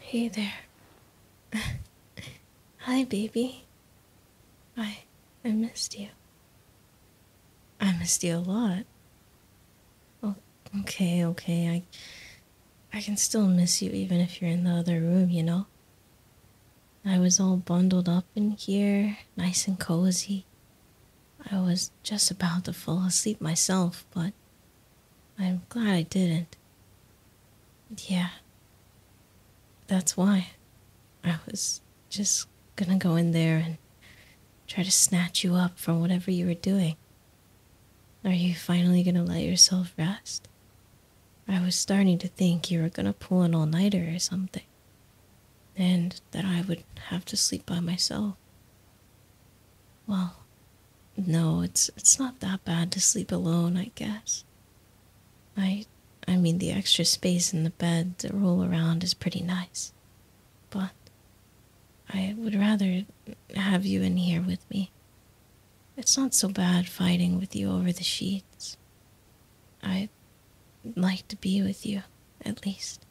Hey there. Hi, baby. I I missed you. I missed you a lot. okay, okay. I I can still miss you even if you're in the other room, you know. I was all bundled up in here, nice and cozy. I was just about to fall asleep myself, but I'm glad I didn't. Yeah. That's why. I was just gonna go in there and try to snatch you up from whatever you were doing. Are you finally gonna let yourself rest? I was starting to think you were gonna pull an all nighter or something, and that I would have to sleep by myself. Well, no, it's it's not that bad to sleep alone, I guess. I I mean the extra space in the bed to roll around is pretty nice. But I would rather have you in here with me. It's not so bad fighting with you over the sheets. I'd like to be with you at least.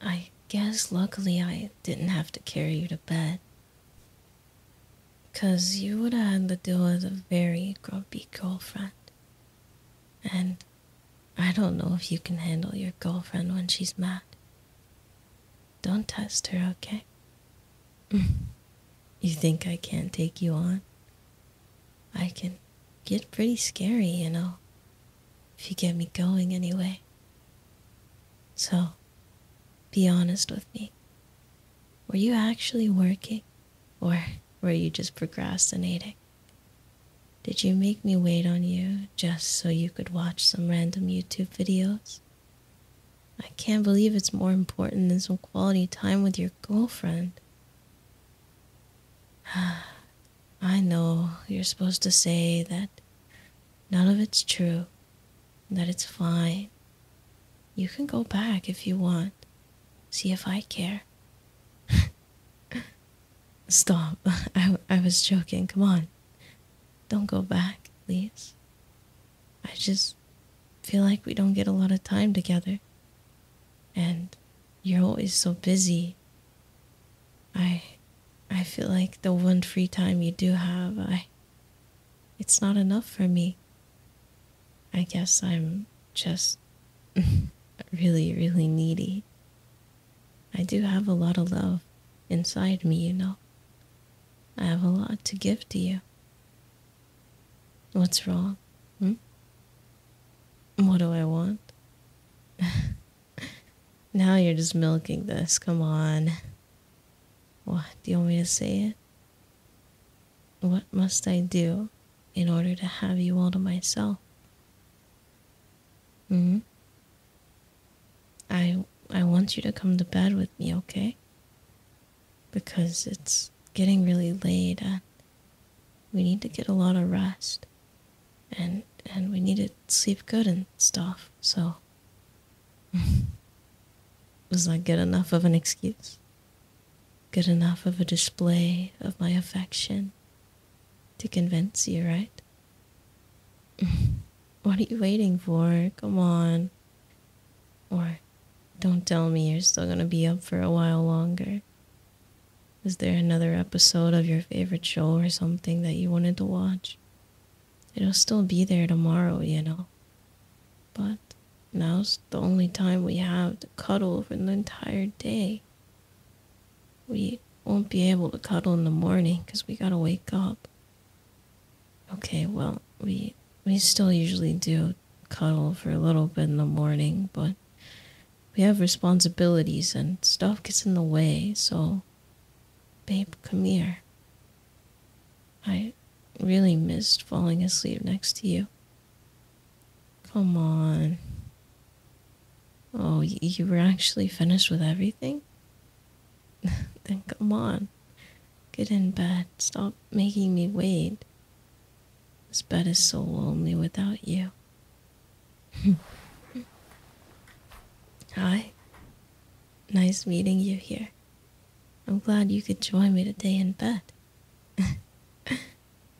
I guess luckily I didn't have to carry you to bed. Because you would have had to deal with a very grumpy girlfriend. And I don't know if you can handle your girlfriend when she's mad. Don't test her, okay? you think I can't take you on? I can get pretty scary, you know if you get me going anyway. So, be honest with me. Were you actually working, or were you just procrastinating? Did you make me wait on you just so you could watch some random YouTube videos? I can't believe it's more important than some quality time with your girlfriend. I know you're supposed to say that none of it's true, that it's fine. You can go back if you want. See if I care. Stop. I, I was joking. Come on. Don't go back, please. I just feel like we don't get a lot of time together. And you're always so busy. I I feel like the one free time you do have, I it's not enough for me. I guess I'm just really, really needy. I do have a lot of love inside me, you know. I have a lot to give to you. What's wrong? Hmm? What do I want? now you're just milking this. Come on. What? Do you want me to say it? What must I do in order to have you all to myself? Hmm? I, I want you to come to bed with me, okay? Because it's getting really late and we need to get a lot of rest and and we needed sleep good and stuff so was that good enough of an excuse good enough of a display of my affection to convince you right what are you waiting for come on or don't tell me you're still going to be up for a while longer is there another episode of your favorite show or something that you wanted to watch? It'll still be there tomorrow, you know. But now's the only time we have to cuddle for the entire day. We won't be able to cuddle in the morning because we gotta wake up. Okay, well, we we still usually do cuddle for a little bit in the morning, but we have responsibilities and stuff gets in the way, so babe, come here. I really missed falling asleep next to you. Come on. Oh, you were actually finished with everything? then come on. Get in bed. Stop making me wait. This bed is so lonely without you. Hi. Nice meeting you here. I'm glad you could join me today in bed.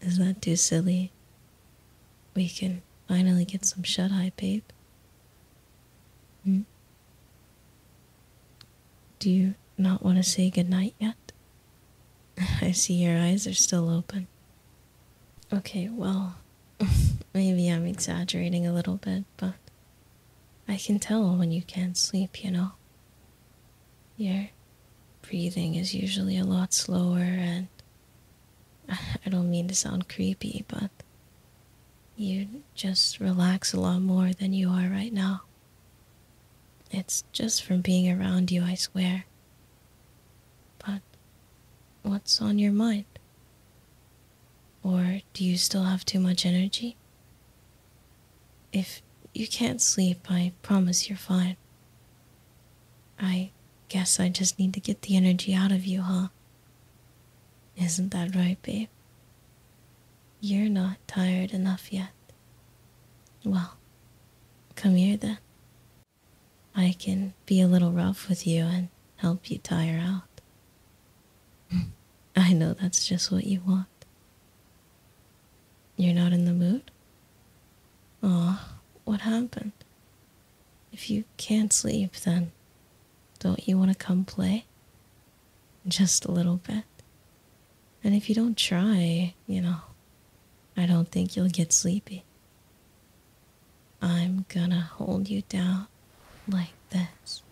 is that too silly? We can finally get some shut eye, babe. Hmm? Do you not want to say goodnight yet? I see your eyes are still open. Okay, well, maybe I'm exaggerating a little bit, but I can tell when you can't sleep, you know. Your breathing is usually a lot slower, and I don't mean to sound creepy, but you just relax a lot more than you are right now. It's just from being around you, I swear. But what's on your mind? Or do you still have too much energy? If you can't sleep, I promise you're fine. I guess I just need to get the energy out of you, huh? Isn't that right, babe? You're not tired enough yet. Well, come here then. I can be a little rough with you and help you tire out. I know that's just what you want. You're not in the mood? Aw, oh, what happened? If you can't sleep, then don't you want to come play? Just a little bit. And if you don't try, you know, I don't think you'll get sleepy. I'm gonna hold you down like this.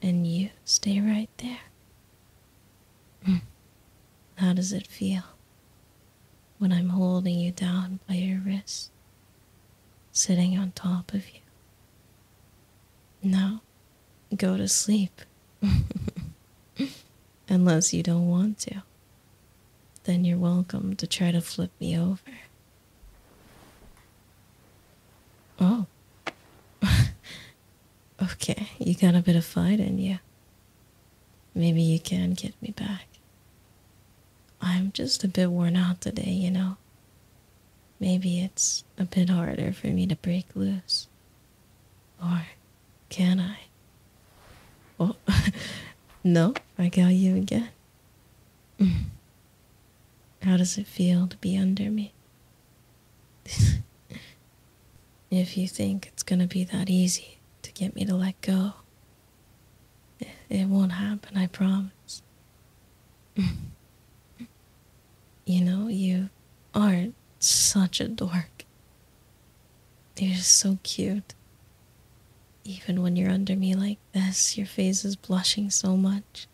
And you stay right there. Hmm. How does it feel when I'm holding you down by your wrist, sitting on top of you? Now, go to sleep. Unless you don't want to, then you're welcome to try to flip me over. Oh. okay, you got a bit of fight in you. Maybe you can get me back. I'm just a bit worn out today, you know. Maybe it's a bit harder for me to break loose. Or can I? Oh, no, I got you again. Mm. How does it feel to be under me? if you think it's gonna be that easy to get me to let go, it, won't happen, I promise. you know, you aren't such a dork. You're just so cute. Even when you're under me like this, your face is blushing so much.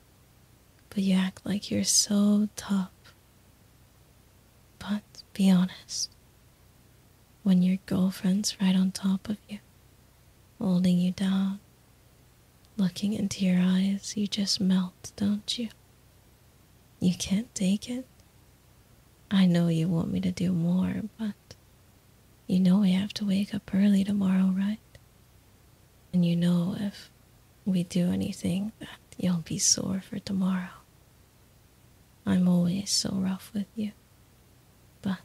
But you act like you're so tough. But be honest. When your girlfriend's right on top of you, holding you down, looking into your eyes, you just melt, don't you? You can't take it? I know you want me to do more, but you know we have to wake up early tomorrow, right? And you know if we do anything that you'll be sore for tomorrow. I'm always so rough with you. But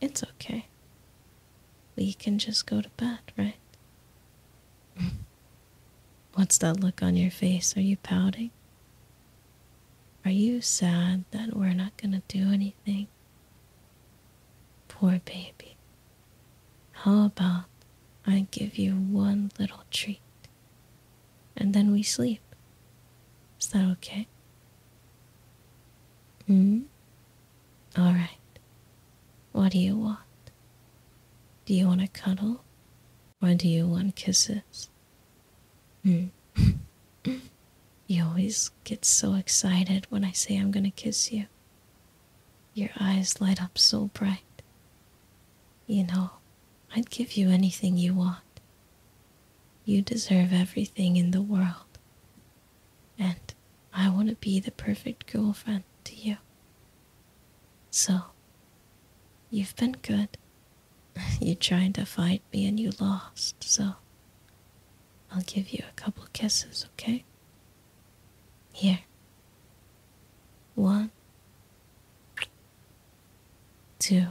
it's okay. We can just go to bed, right? What's that look on your face? Are you pouting? Are you sad that we're not going to do anything? Poor baby. How about I give you one little treat and then we sleep? Is that okay? Hmm? All right. What do you want? Do you want to cuddle? Or do you want kisses? Hmm. you always get so excited when I say I'm gonna kiss you. Your eyes light up so bright. You know, I'd give you anything you want. You deserve everything in the world. And I want to be the perfect girlfriend to you. So, you've been good. You tried to fight me and you lost, so I'll give you a couple kisses, okay? Here. One, two,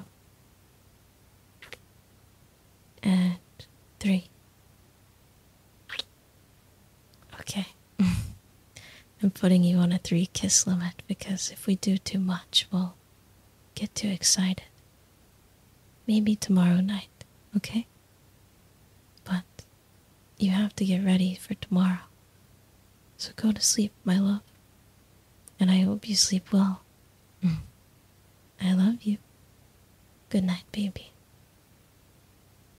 and three. Okay. I'm putting you on a three kiss limit because if we do too much, we'll get too excited. Maybe tomorrow night, okay? But you have to get ready for tomorrow. So go to sleep, my love. And I hope you sleep well. I love you. Good night, baby.